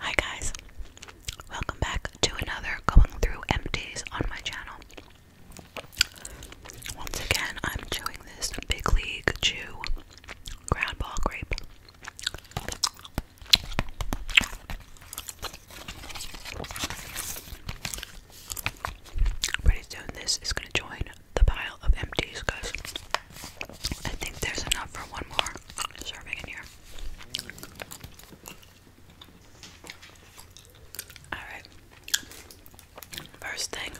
Hi guys, welcome back to another Going Through Empties on my channel. Once again, I'm chewing this Big League Chew Ground Ball Grape. Pretty soon, this is going to join the pile of empties because I think there's enough for one more serving in here. Alright. First thing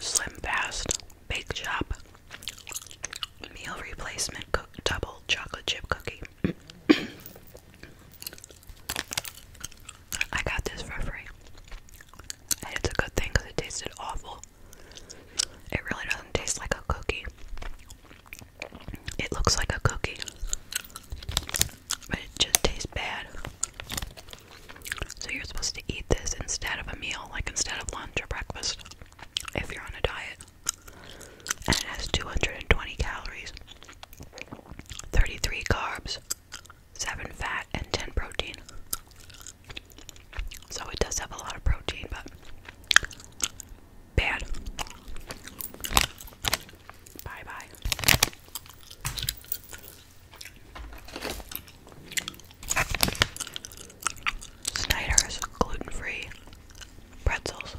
Slim Fast Bake Shop Meal Replacement Cook Double Chocolate Chip Cookie. I got this for free. And it's a good thing because it tasted awful. It really doesn't taste like a cookie. It looks like a cookie, but it just tastes bad. So you're supposed to eat this instead of a meal, like instead of lunch or breakfast, if you're on a diet. And it has 220 calories, 33 carbs, 7 fat, and 10 protein. So it does have a lot of protein, but bad. Bye bye. Snyder's gluten free pretzels.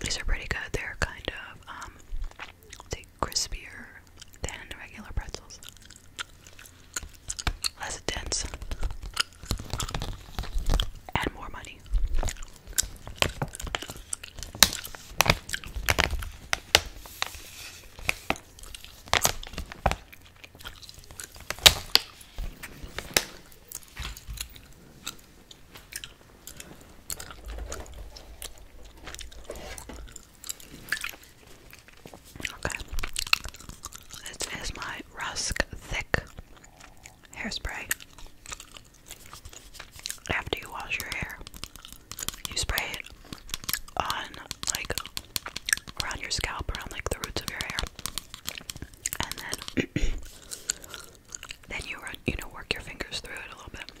These are pretty good. They're kind of, um, crispier than regular pretzels. Less dense. And more money. Okay. This is my Rusk Thick Hairspray. After you wash your hair, you spray it on, like, around your scalp, around, like, the roots of your hair. And then then you you know, work your fingers through it a little bit,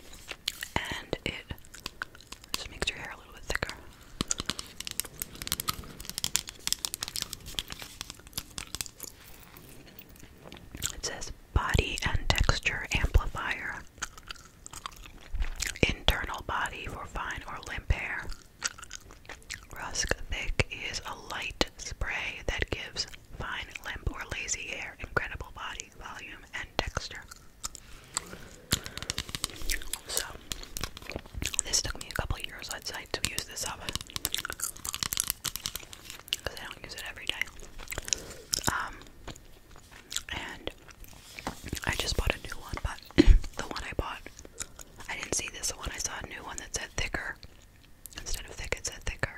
and it just makes your hair a little bit thicker. It says body and texture amplifier, internal body for fine or limp hair. Rusk Thick is a light spray that gives fine, limp, or lazy hair incredible body volume and texture. So, this took me a couple years, I'd to use this up because I don't use it every day. Um, and I just bought a new one, but the one I bought, I didn't see this one. I saw a new one that said thicker instead of thick, it said thicker.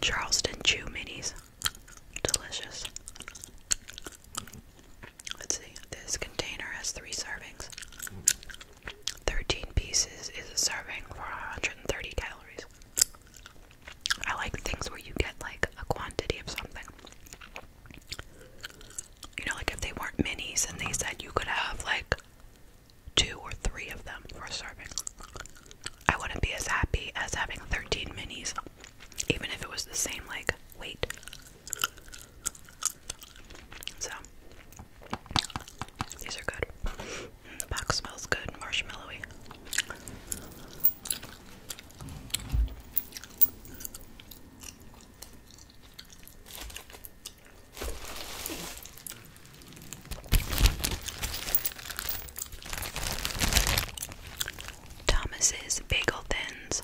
Charleston Chew Minis. Delicious. Let's see. This container has three servings. 13 pieces is a serving for 130 calories. I like things where you get like a quantity of something. You know, like if they weren't minis and they said you could have like two or three of them for a serving. I wouldn't be as happy as having 13 minis, even if it was the same, like, weight. So, these are good. The box smells good, marshmallowy. Thomas's Bagel Thins.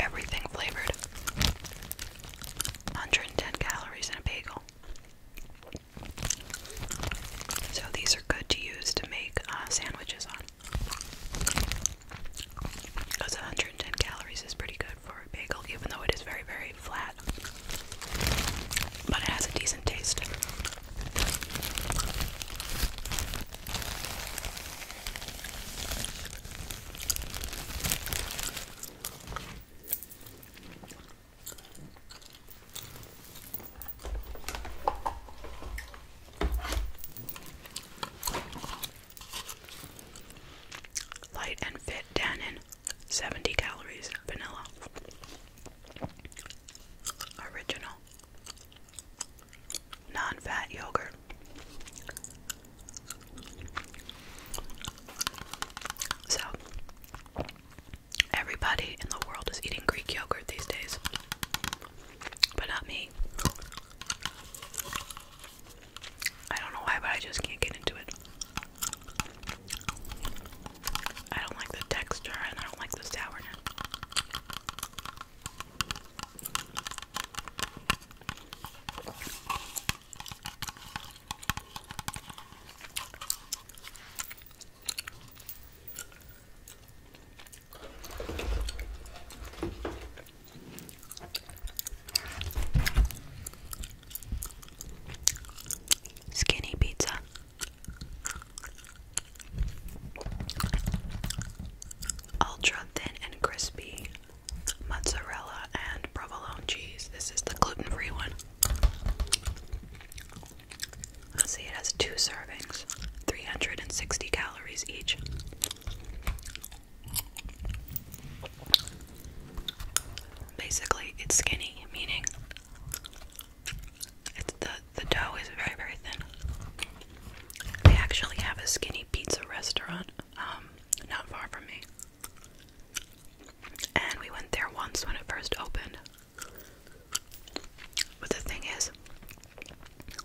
Everything flavored. 110 calories in a bagel. So these are good to use to make uh, sandwiches on. Those 110 calories is pretty good for bagel, even though it is very, very flat. But it has a decent taste. Light and fit tannin, 70 calories, vanilla. Original. Non fat yogurt. So, everybody in the world is eating Greek yogurt these days, but not me. I don't know why, but I just can't get into it. I don't like the texture and I don't like the sourness. Skinny pizza. Ultra thin and crispy mozzarella and provolone cheese. This is the gluten free one. let see, it has two servings, 360 calories each. Basically, it's skinny, meaning the the dough is very very thin. They actually have a skinny pizza restaurant um, not far from me, and we went there once when it first opened. But the thing is,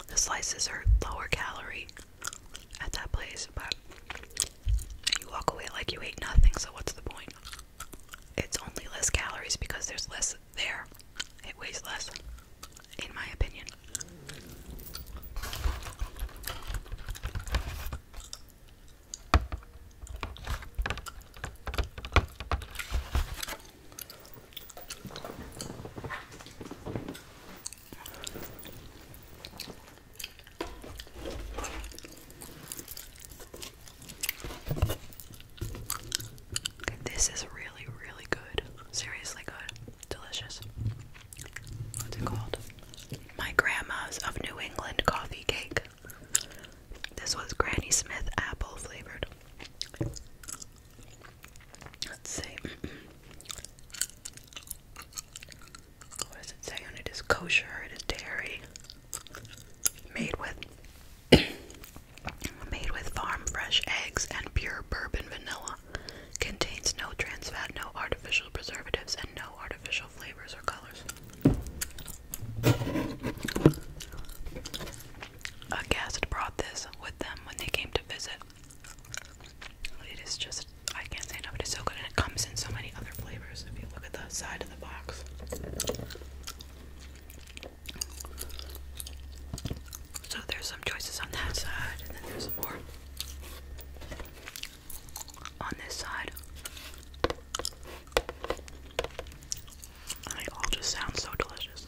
the slices are lower calorie at that place, but you walk away like you ate nothing, so what's the point? It's only less calories because there's less there. It weighs less, in my opinion. This is really, really good. Seriously good. Delicious. What's it called? My Grandma's of New England Coffee Cake. This was Granny Smith apple flavored. Let's see. What does it say on it? Is kosher? It is dairy. Made with made with farm fresh eggs and pure bourbon vanilla. Contains no trans fat, no artificial preservatives, and no artificial flavors or colors. A guest brought this with them when they came to visit. It is just I can't say no, it's so good, and it comes in so many other flavors. If you look at the side of the box, so there's some choices on that side, and then there's more on this side. they all just sound so delicious.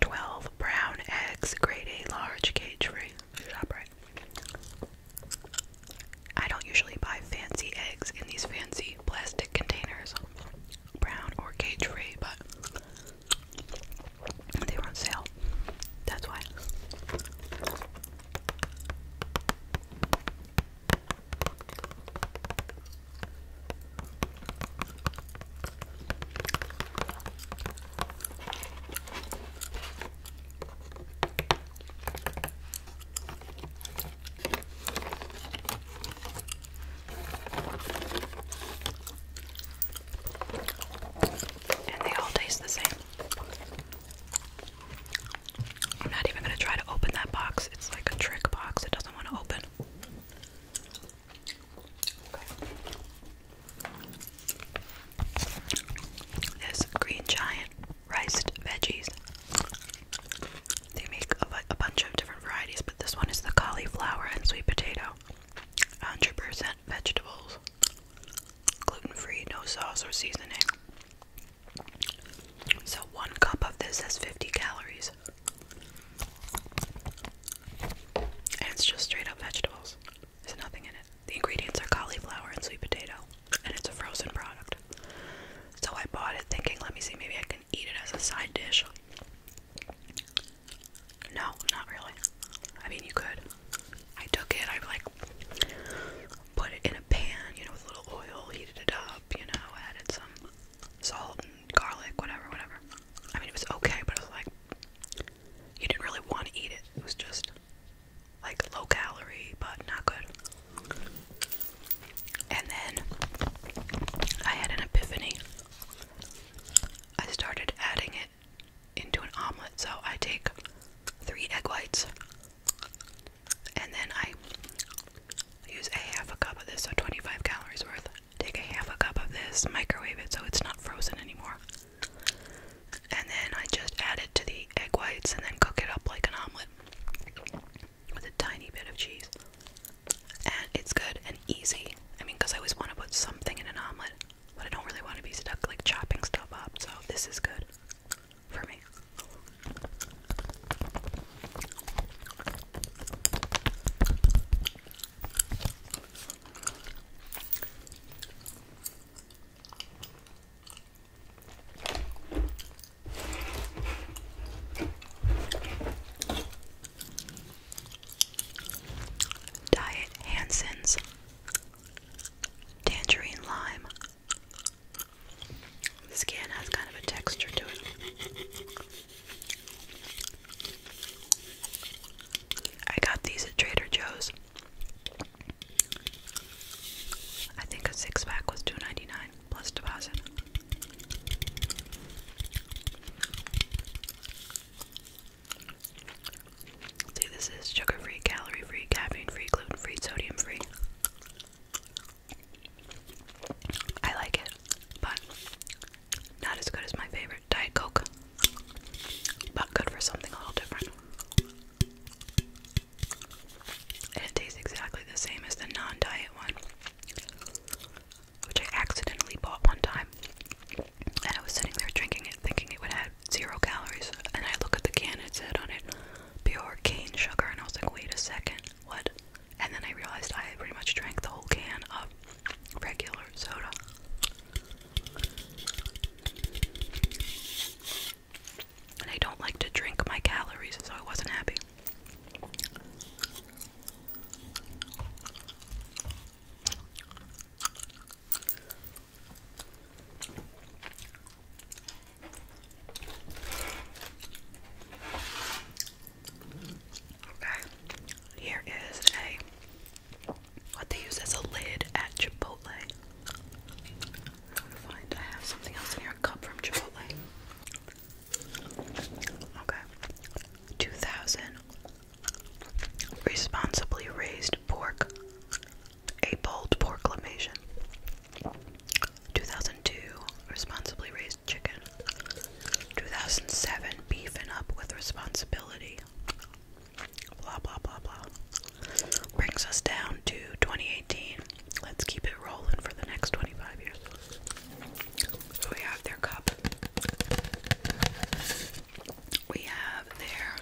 12 brown eggs, grade A large cage free. I don't usually buy fancy eggs in these fancy plastic containers, brown or cage free, but they were on sale. That's why. And they all taste the same. I'm not even going to try to open that box. It's like a trick box, it doesn't want to open. There's green giant riced veggies. They make a, bunch of different varieties, but this one is the cauliflower and sweet potato. 100% vegetables, gluten free, no sauce or seasoning. So, one cup of this has 50 calories it's just straight up vegetables. There's nothing in it. The ingredients are cauliflower and sweet potato, and it's a frozen product. So I bought it thinking, let me see, maybe I can eat it as a side dish. No, not really. I mean, you could. I took it, I like put it in a pan, you know, with a little oil, heated it up, you know, added some salt and garlic, whatever, whatever. I mean, it was okay, but it was like you didn't really want to eat it. It was just like low calorie, but not good. And then I had an epiphany. I started adding it into an omelet. So I take three egg whites and then I use a half a cup of this, so 25 calories worth take a half a cup of this, microwave it so it's not frozen anymore. And then I just add it to the egg whites and then cook it up like an omelet with a tiny bit of cheese. And it's good and easy. I mean, because I always want to put something in an omelet, but I don't really want to be stuck like chopping stuff up, so this is good for me. Diet Hanson's Tangerine Lime. The skin has kind of a texture to it. I got these at Trader Joe's. I think a six pack was two ninety nine plus deposit. See, this is sugar free, calorie free, caffeine free, gluten free, sodium free. I like it, but not as good as my favorite Diet Coke, but good for something a little different. And it tastes exactly the same as the non diet one, which I accidentally bought one time. And I was sitting there drinking it, thinking it would have zero calories. And I look at the can, it said on it, pure cane sugar. And I was like, wait a second, what? and then I realized I pretty much drank the whole can of regular soda. And I don't like to drink my calories, so I wasn't happy. Okay, here is a what they use as a lid at Chipotle. I'm find I have something else in here, a cup from Chipotle. Okay, 2000 responsibly raised pork, a bold porklamation. 2002 responsibly raised chicken. 2007 beefing up with responsibility. Blah blah blah blah. Brings us down to 2018. Let's keep it rolling for the next 25 years. So we have their cup. We have their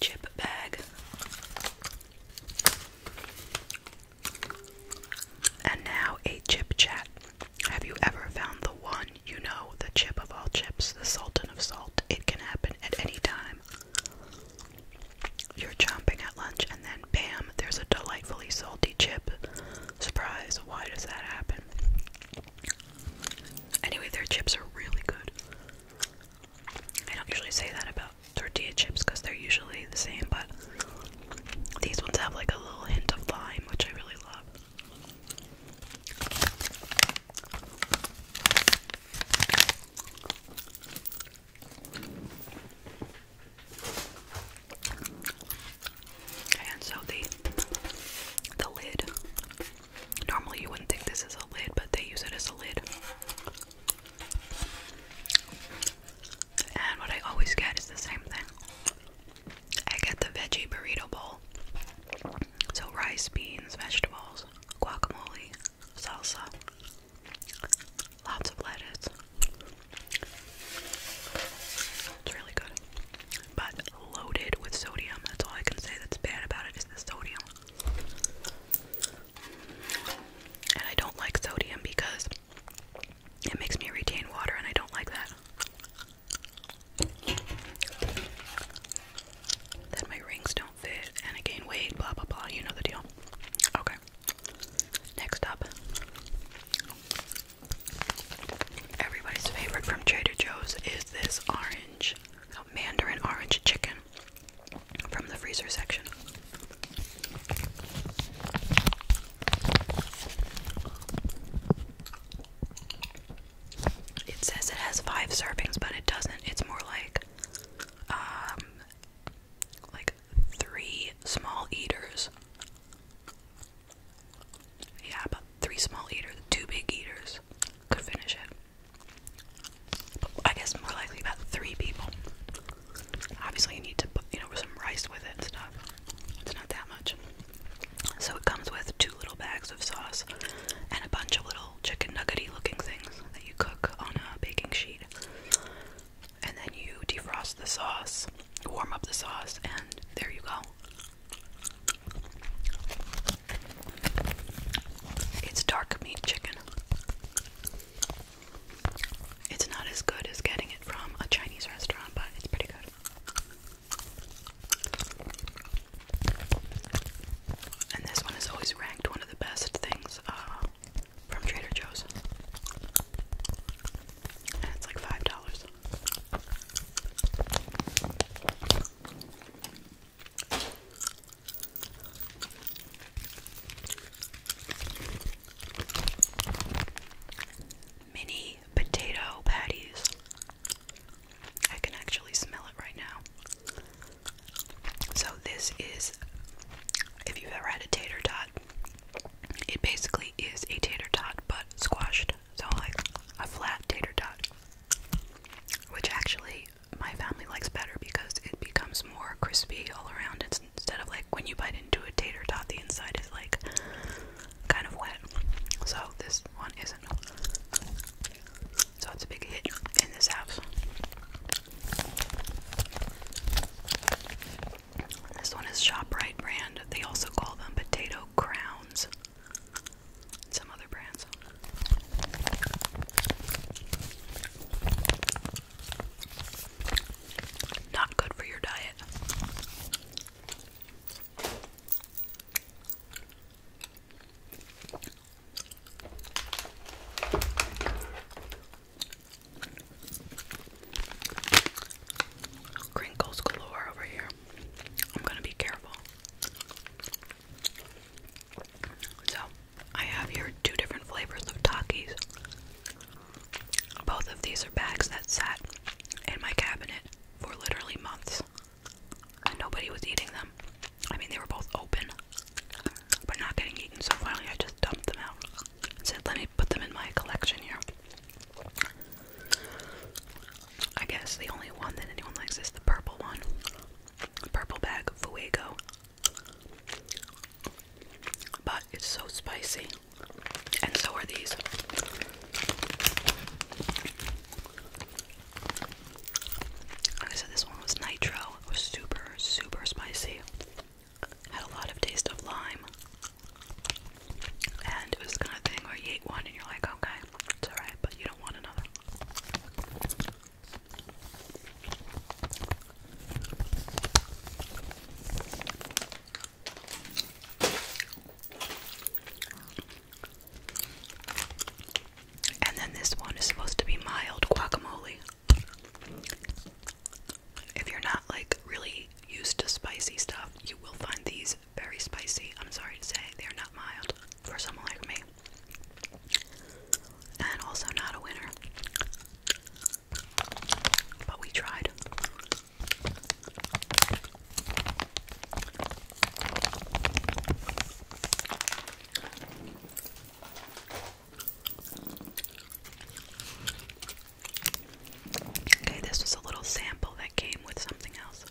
chip bag. And now a chip chat. Have you ever found the one you know, the chip of all chips, the sultan of salt? It can happen at any time. You're chomping at lunch, and then bam, there's a delightfully salty chip. Surprise, why does that happen? Anyway, their chips are really good. I don't usually say that about tortilla chips because they're usually the same, but these ones have like a little hint of lime, which I really love. And so the the lid. Normally you wouldn't think this is a lid, but they use it as a lid. And what I always get is the same thing. I get the veggie burrito bowl. So rice, beans, vegetables, guacamole, salsa, lots of lettuce. It's really good. But loaded with sodium. That's all I can say that's bad about it is the sodium. And I don't like sodium because it makes me retain water, and I don't like that. That my rings don't fit and I gain weight, blah blah blah. You know the deal. Okay. Next up, everybody's favorite from Trader Joe's is this orange, mandarin orange chicken from the freezer section. It says it has five servings, but it doesn't. It's more like um like three small eaters. Yeah, about three small eaters, two big eaters could finish it. I guess more likely about three people. Obviously, you need to put you know some rice with it and stuff. It's not that much. So it comes with two little bags of sauce and a bunch of little chicken nuggety looking things that you cook on a baking sheet. And then you defrost the sauce, warm up the sauce, and there you go. It's dark meat chicken. It's not as good as getting it from a Chinese restaurant, but it's pretty good. And this one is always ranked one of the best things uh, from Trader Joe's. And it's like five dollars mini potato patties. I can actually smell it right now. So, this is if you've ever had a tater tot, it basically is a tater tot but squashed. So, like a flat tater tot, which actually my family likes better because it becomes more crispy all around instead of like when you bite into a tater tot, the inside is like kind of wet. So this one isn't. So it's a big hit in this house. This one is ShopRite brand. They also call them potato crowns. Some other brands. Not good for your diet. Crinkles galore over here. I'm gonna be careful. So, I have here two different flavors of Takis. Both of these are bags that sat in my cabinet for literally months. And nobody was eating them. I mean, they were both open, but not getting eaten, so finally I just dumped them out. said, let me put them in my collection here. I guess the only one that anyone likes is the purple one. The purple bag of Fuego. But it's so spicy. And so are these. Like I said, this one was nitro. It was super, super spicy. Had a lot of taste of lime. And it was kind of thing where you eat one and you're like, okay, it's alright, but you don't want another. And then this one is supposed to be mild guacamole. If you're not like really used to spicy stuff, you will find these very spicy. I'm sorry to say, they're not mild for someone like me. And also not a winner. But we tried. Okay, this was a little sample that came with something else.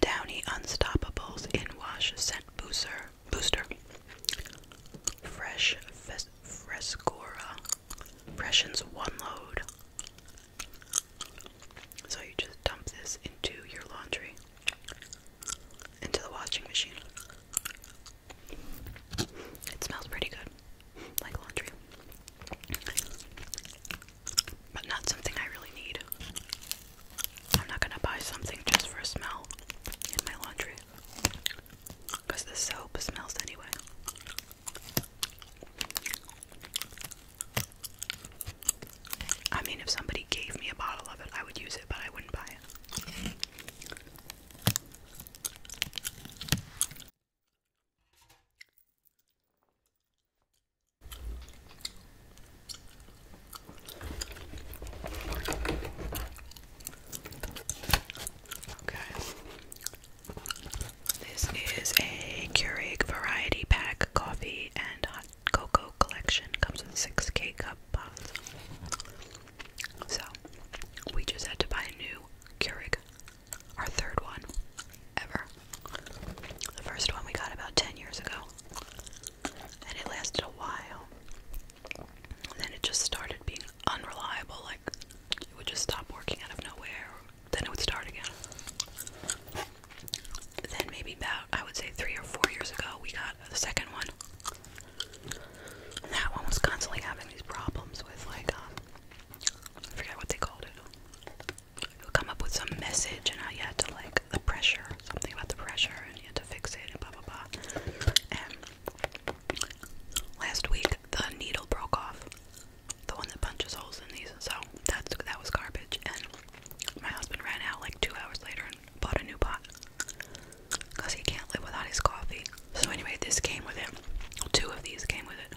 Downy Unstoppables in Wash Scent Booster. Booster. Fresh Frescora. Pressions one load. So you just dump this into your laundry, into the washing machine. It smells pretty good, like laundry. But not something I really need. I'm not gonna buy something just for a smell in my laundry. Because the soap smells anyway. I mean, if somebody gave me a bottle of it, I would use it, but I wouldn't buy it. This is a Keurig variety pack coffee and hot cocoa collection. Comes with six K cup pods. So we just had to buy a new Keurig. Our third one ever. The first one we got about ten years ago. And it lasted a while then it just started being unreliable, like it would just stop working out of nowhere, then it would start again. Then, maybe about I would say three or four years ago, we got a second one. And that one was constantly having these problems with, like, um, I forget what they called it. It would come up with some message, and I had to, like, the pressure, something about the pressure, and you had to fix it, and blah blah blah. Last week the needle broke off. The one that punches holes in these. So that's that was garbage and my husband ran out like two hours later and bought a new pot. Cause he can't live without his coffee. So anyway, this came with it. Two of these came with it.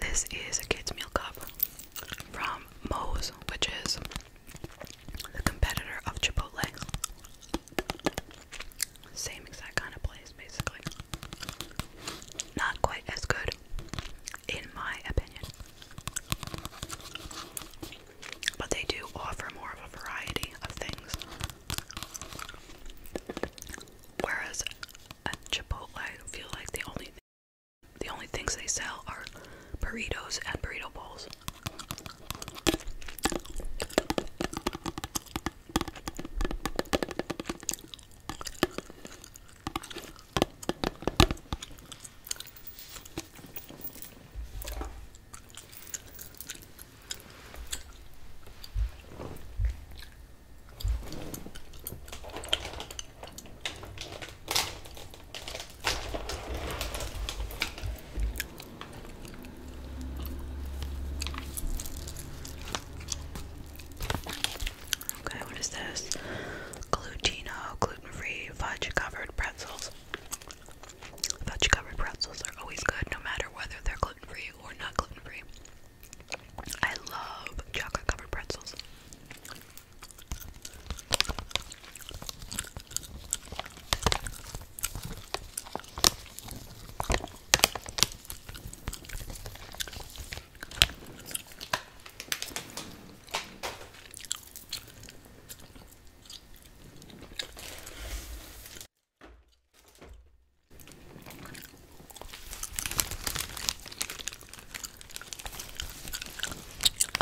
This is a kids' meal cup from Moe's, which is the competitor of Chipotle. Same exact kind of place, basically. Not quite as good, in my opinion. But they do offer more of a variety of things. Whereas at Chipotle, I feel like the only the only things they sell are burritos and burrito bowls. Okay, what is this? Glutino, gluten-free, fudge-covered pretzels. Fudge-covered pretzels are always good, no matter whether they're gluten-free or not gluten-free. I love chocolate covered pretzels.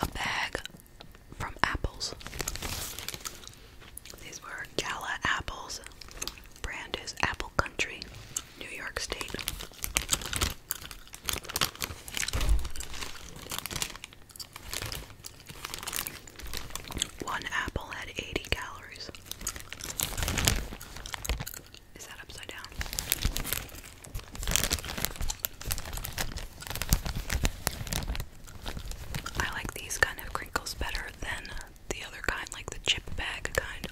A bag from apples. These were Gala apples. Brand is Apple Country, New York State. One apple had 80 calories. Is that upside down? I like these kind of crinkles better than the other kind, like the chip bag kind.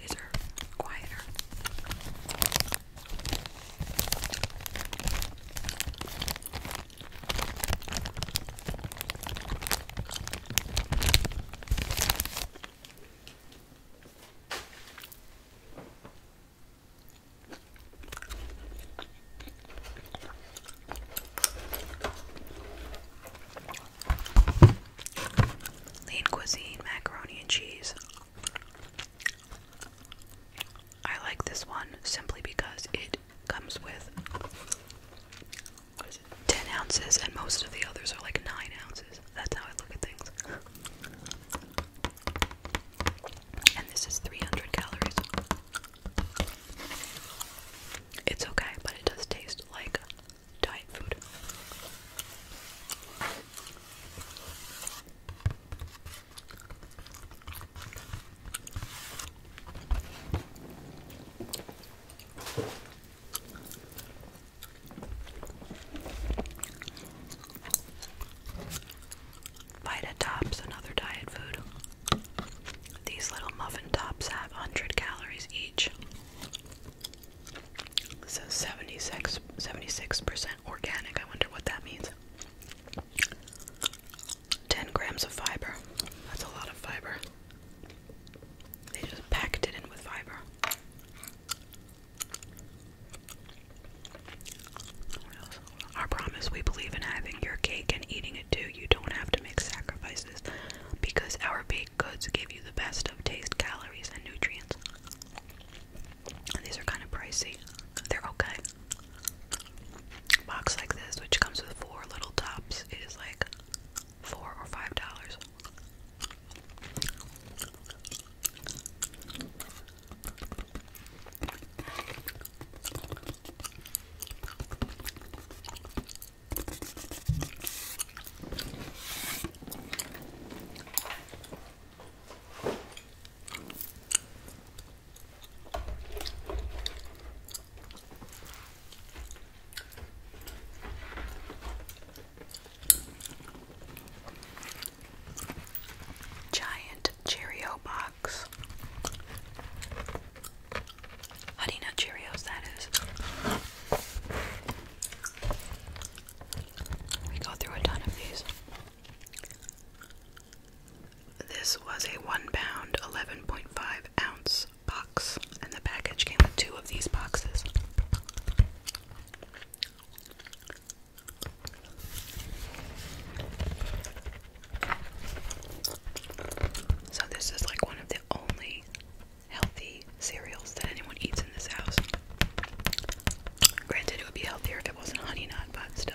These are quieter. Lean cuisine, macaroni and cheese. I like this one simply because it comes with 10 ounces, and most of the others are like 9 ounces. That's how I look at things. And this is 300 calories. It's okay, but it does taste like diet food. Vita Tops, another diet food. These little muffin tops have 100 calories each. So 76 76% organic. I wonder what that means. 10 grams of fiber. That's a lot of fiber. They just packed it in with fiber. Our promise we believe in having your cake and eating it too. You don't have to make sacrifices because our baked goods give you the best of taste, calories, and nutrients. And these are kind of pricey. They're okay. box like this, which comes with four little tops, it is like four or five dollars. Giant Cheerio box. Honey Nut Cheerios, that is. We go through a ton of these. This was a one pound, 11.5 ounce box, and the package came with two of these boxes. So, this is like one of the only healthy cereals that anyone eats in this house. Granted, it would be healthier if it wasn't honey nut, but still.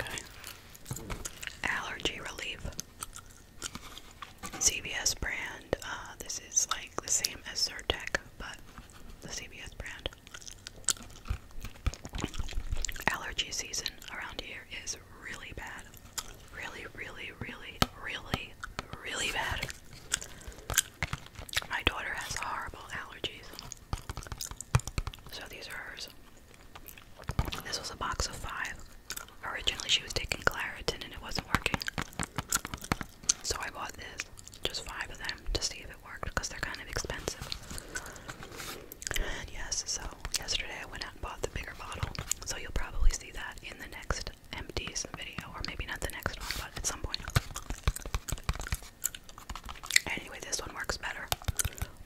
Okay. Allergy relief. CVS brand. Uh, this is like the same as Zyrtec, but the CBS brand. Allergy season around here is really bad. Really, really, really, really, really bad. My daughter has horrible allergies. So these are hers. This was a box of five. Originally, she was taking Claritin and it wasn't working. So I bought this, just five of them, to see if it worked because they're kind of expensive. yes, so yesterday I went out and bought the bigger bottle. So you'll probably see that in the next empties video, or maybe not the next one, but at some point. Anyway, this one works better.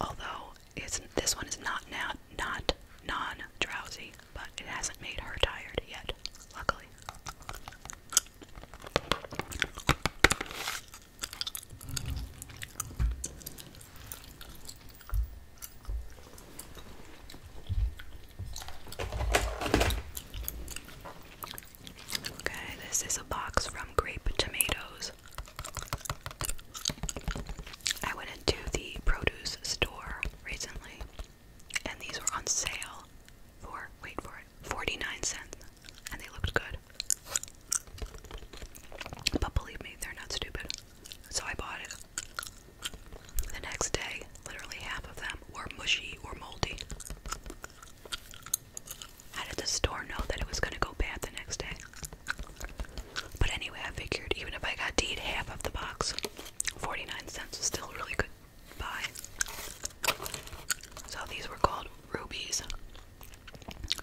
Although it's this one is not now not non drowsy but it hasn't made her tired yet, luckily. Okay, this is a box from Grape Tomatoes. I went into the produce store recently and these were on sale for wait for it 49 cents and they looked good but believe me they're not stupid so i bought it the next day literally half of them were mushy or moldy how did the store know that it was going to go bad the next day but anyway i figured even if i got to eat half of the box 49 cents is still really good buy. So these were called rubies,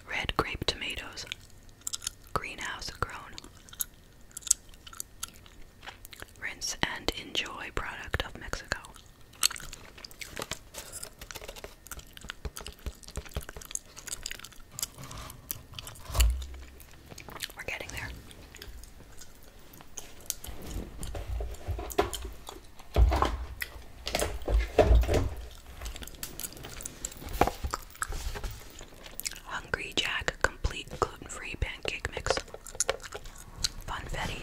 red grape tomatoes, greenhouse grown. Rinse and enjoy product of Mexico. We're getting there. Hungry Jack complete gluten free pancake mix. Funfetti.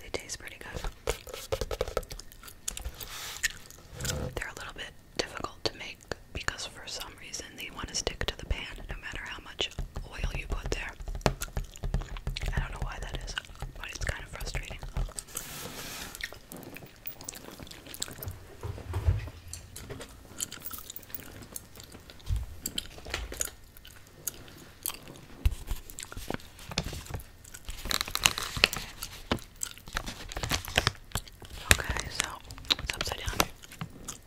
They taste pretty good. They're a little bit difficult to make because for some reason they want to stick to the pan no matter how much oil you put there. I don't know why that is, but it's kind of frustrating. Okay, so it's upside down.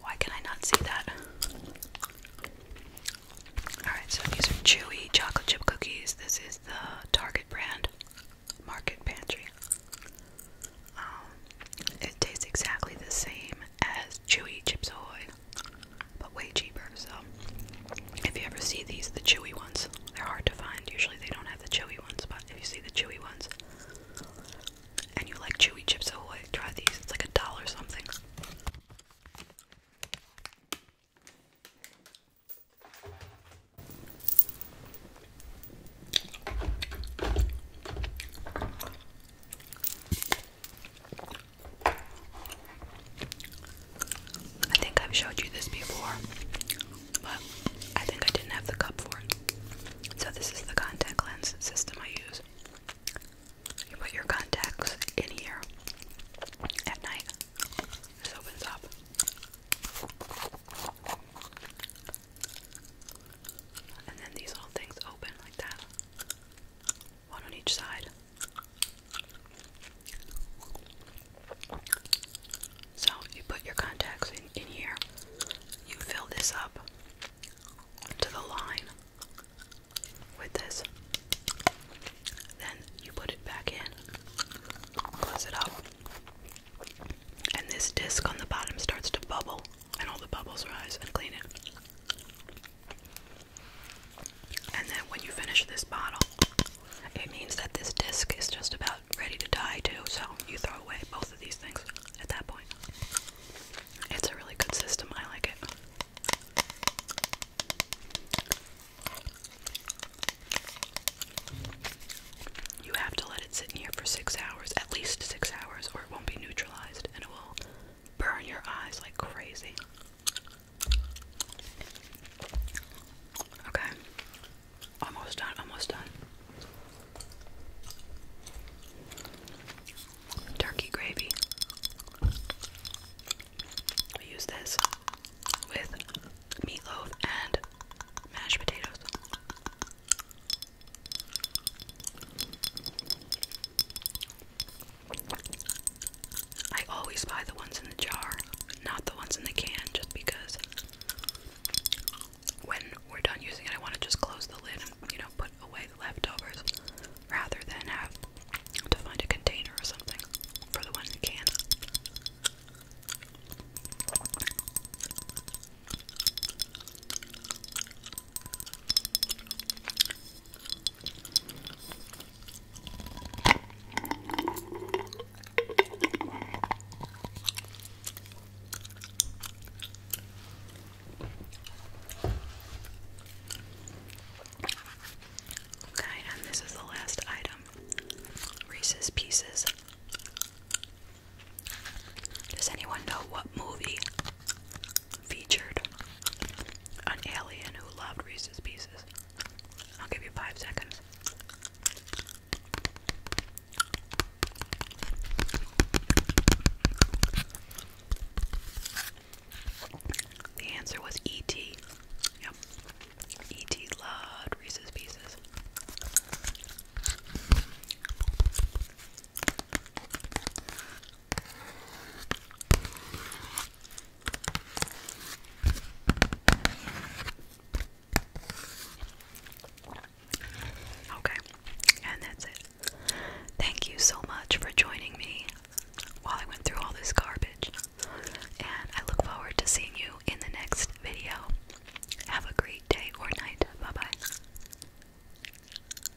Why can I not see that? Alright, so these are chewy chocolate chip cookies. This is the Target brand Market Pantry. Um, it tastes exactly the same as chewy chips but way cheaper. So if you ever see these, the chewy ones, they're hard to find. Usually they don't have the chewy ones, but if you see the chewy ones and you like chewy chips ahoy, oh, try these. It's like a dollar something. I think I've showed you this before, but I think I didn't have the cup for it. So, this is the contact lens system I use. You put your contacts in here at night. This opens up. And then these little things open like that one on each side. So you put your contacts in, in here, you fill this up to the line with this, then you put it back in, close it up, and this disc on the bottom starts to bubble, and all the bubbles rise and clean it. And then when you finish this bottle, it means that this disc is just about ready to die too, so you throw away both of these things at that point. It's a really good system, I like it. You have to let it sit in here for six hours, at least six hours, or it won't be neutralized and it will burn your eyes like crazy. Okay. Almost done, almost done. Turkey gravy. We use this with meatloaf and mashed potatoes. I always buy the ones in the jar, not the ones in the can, just because when we're done using it, I want to just close the lid and, you know, put away the leftovers rather than have to find a container or something for the one in the can. Okay, and this is the last item Reese's Pieces. Does anyone know what movie featured an alien who loved Reese's Pieces. I'll give you five seconds. The answer was E.T. Yep. E.T. loved Reese's Pieces. Okay, and that's it. Thank you so much for joining me while I went through all this garbage. And I look forward to seeing you in the next video. Have a great day or night. Bye bye.